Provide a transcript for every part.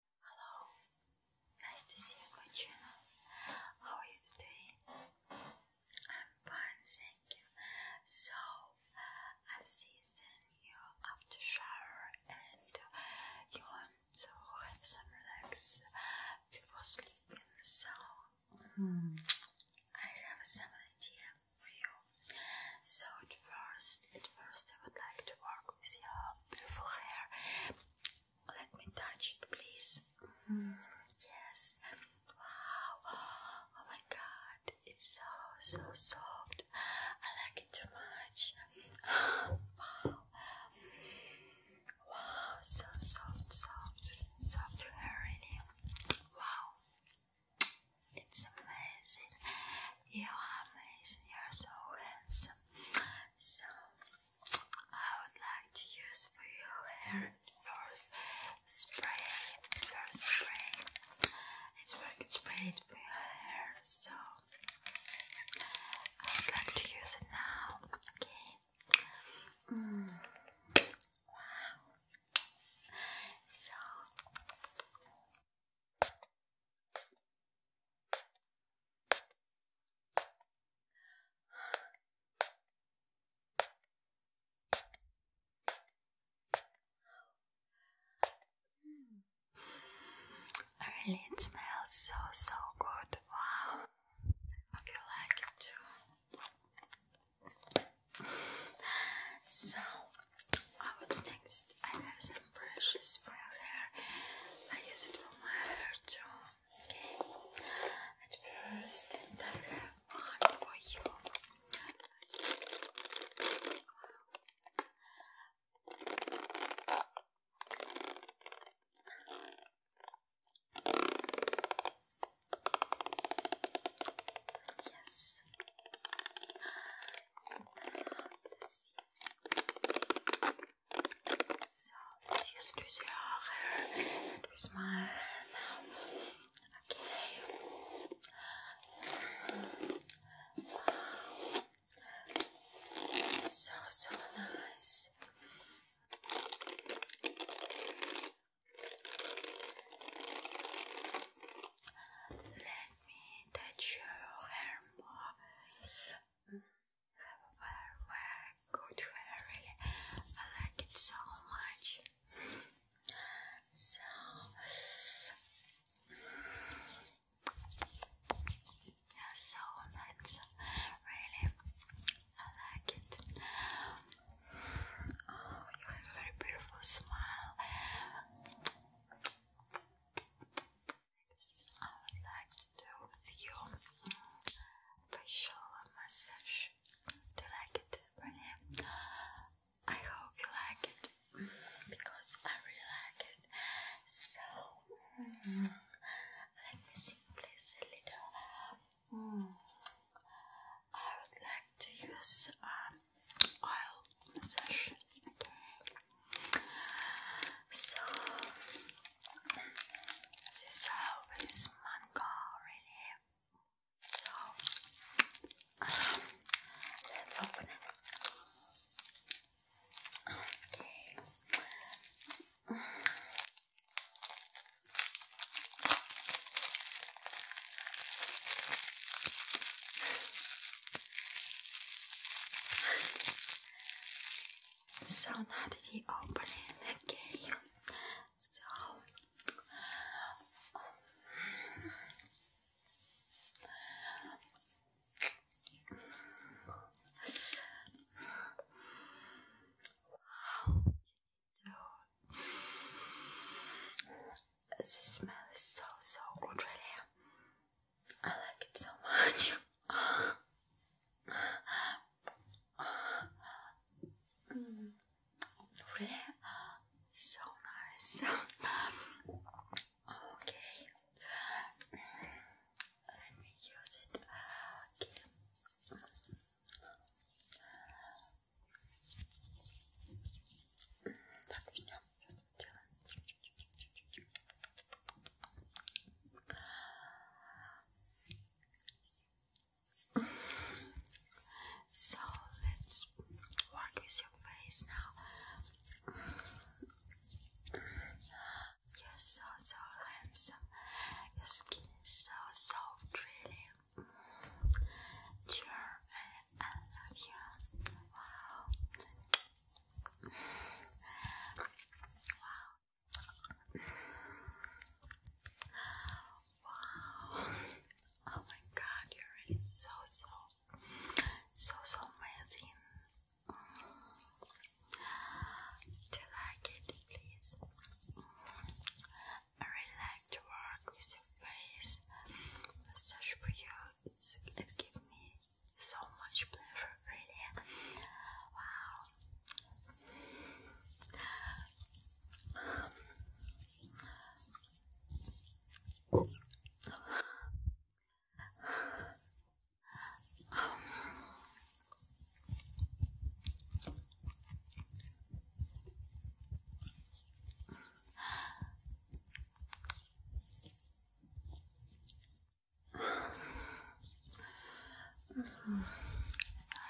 Hello, nice to see you on my channel. How are you today? I'm fine, thank you. So, I see then you after shower and you want to have some relax before sleeping. So, hmm. I have some idea for you. So, first, at first, I would like to work your beautiful hair. Let me touch it, please. Mm-hmm. yes. Wow. Oh my god. It's so, so soft. I like it too much. Wow. Wow. So soft, soft, soft hair, really. Wow. It's amazing you are amazing, you are so handsome. So, I would like to use for your hair first spray, first spray. It's very good spray for your hair, so I would like to use it now, okay? Mm. Wow. So it smells so so good. Wow, hope you like it too. So Ah, what's next? I have some brushes for your hair. I use it for my hair too. Okay. At first, I have one for you. Yes, this is so let's just do hair we smile now. Okay. So so nice. Let me touch your hair more. Mm, have a very, very I like it so much. So. Mm, so that's really I like it. Oh, you have a very beautiful smile. I would like to do with facial massage. Do you like it, Renee? I hope you like it because I really like it. So, let me see, a little. Mm. I would like to use um, oil massage. So this oil is mango, really. So um, let's open it. Okay. So now that you open it again, so um, the smell is so so good really. I like it so much. Mm. really so nice. okay. Let me use it. Okay. Tak So let's work with your face now. You're so your skin is so soft, really. Mm. Sure, I, Wow. Wow. Wow. Oh my god, you're so so so so amazing. Do you like it, please? I really like to work with your face. Massage for it gives me so much pleasure, really. Wow. Mm.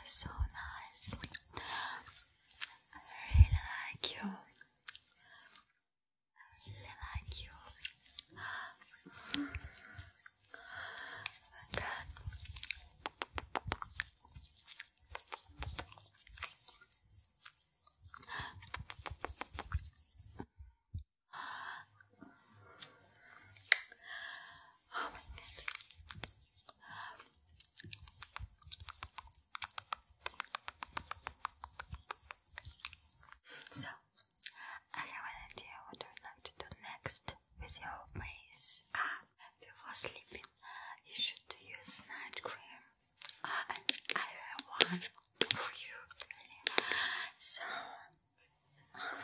So nice. I really like you. I really like you. Again. Oh my goodness. So I have an idea what I would to do next with your face. Ah, before sleeping, you should use night cream. Ah, and I have one for you, So, um,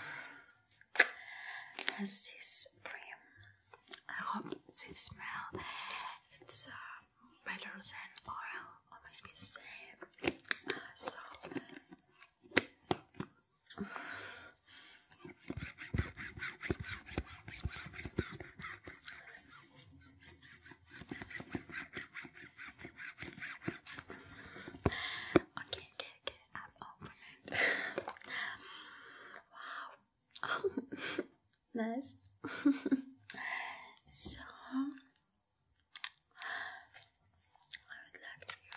this cream. I hope this smell it's uh, better oil or maybe same. Ah, so, Okay, okay, okay, I'm open it. wow. nice. so I would like to use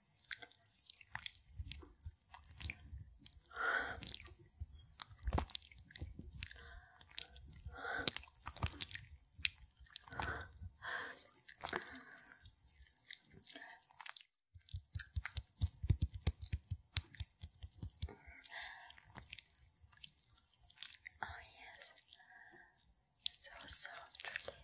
Oh yes, so soft, really.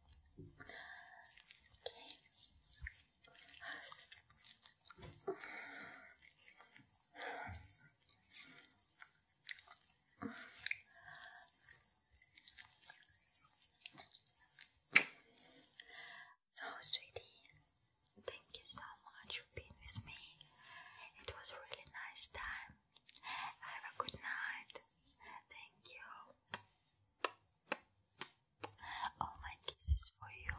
So, sweetie, thank you so much for being with me. It was a really nice time. Have a good night. Thank you. All my kisses for you.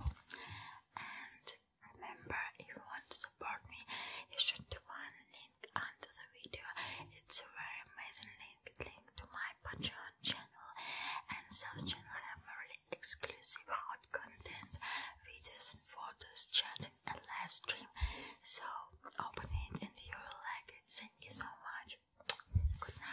And remember, if you want to support me, you should find a link under the video. It's a very amazing link, link to my Patreon channel. And those channel have really exclusive hot content, videos and photos, chatting and live stream. So open it and you will like it. Thank you so much. Good night.